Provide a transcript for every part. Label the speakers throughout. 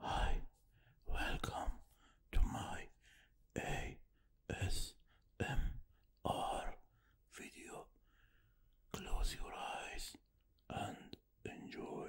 Speaker 1: Hi, welcome to my ASMR video. Close your eyes and enjoy.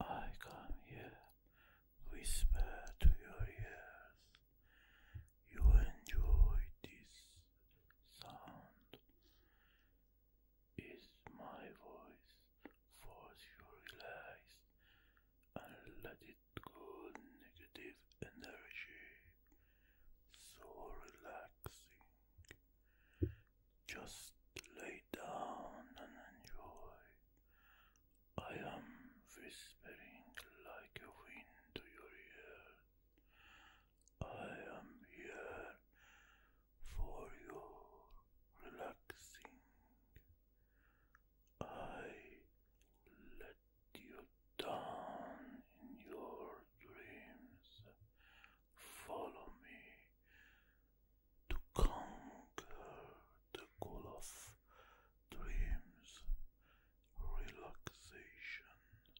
Speaker 2: I come here, whisper to your ears. You enjoy this sound is my voice force you relax and let it go negative energy so relaxing just lay down and enjoy i am whispering like a wind to your ear I am here for your relaxing. I let you down in your dreams. Follow me to conquer the goal of dreams, relaxation,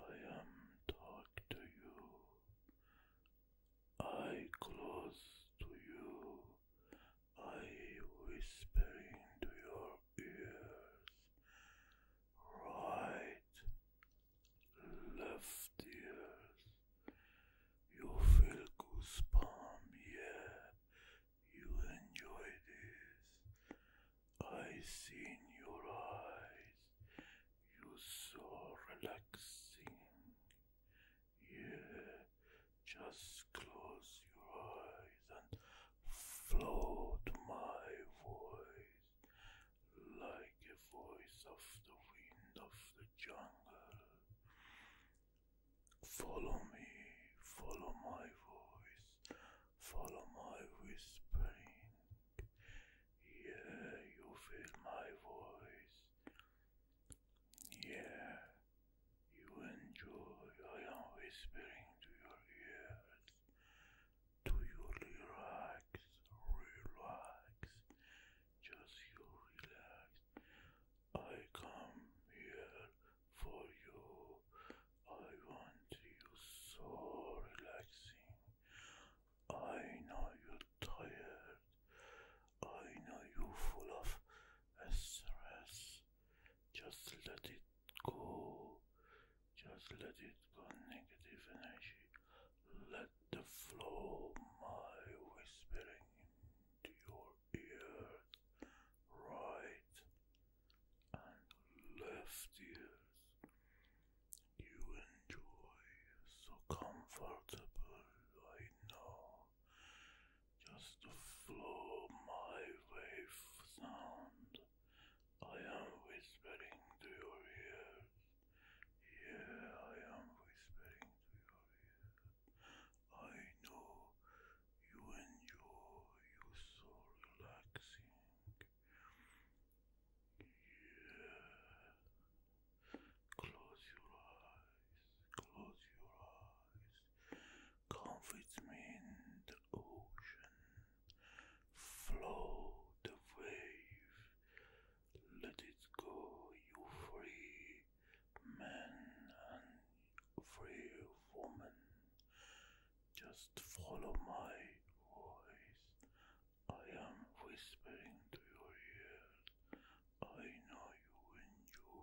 Speaker 2: I am talk to you. I close to you. I whisper into your ears. Right, left ears. You feel goosebumps, yeah. You enjoy this. I see in your eyes. You are so relaxing. Yeah, just close your eyes and float my voice like a voice of the wind of the jungle. Follow me, follow my voice, follow my whispering. Yeah, you feel my voice. Yeah, you enjoy. I am whispering to your ears. Do you relax? Relax. Just you relax. I come here for you. I want you so relaxing. I know you're tired. I know you're full of stress. Just let it go. Just let it go. Negative energy. Let the flow my whispering into your ear. Right and left ears. You enjoy so comfortable, I know. Just to flow my wave sound. I am whispering to your ears. Yeah, I am whispering to your ears. I know you enjoy you so relaxing. Yeah. Close your eyes. Close your eyes. Come me in the ocean. Flow the wave. Let it go. You free men and free woman. Just follow my voice. I am whispering to your ears. I know you and you.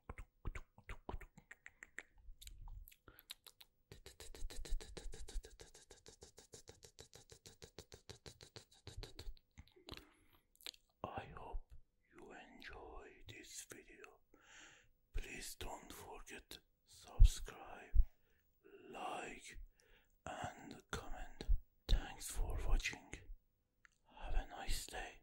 Speaker 1: I hope you enjoy this video. Please don't forget subscribe, like and comment. Thanks for watching. Have a nice day.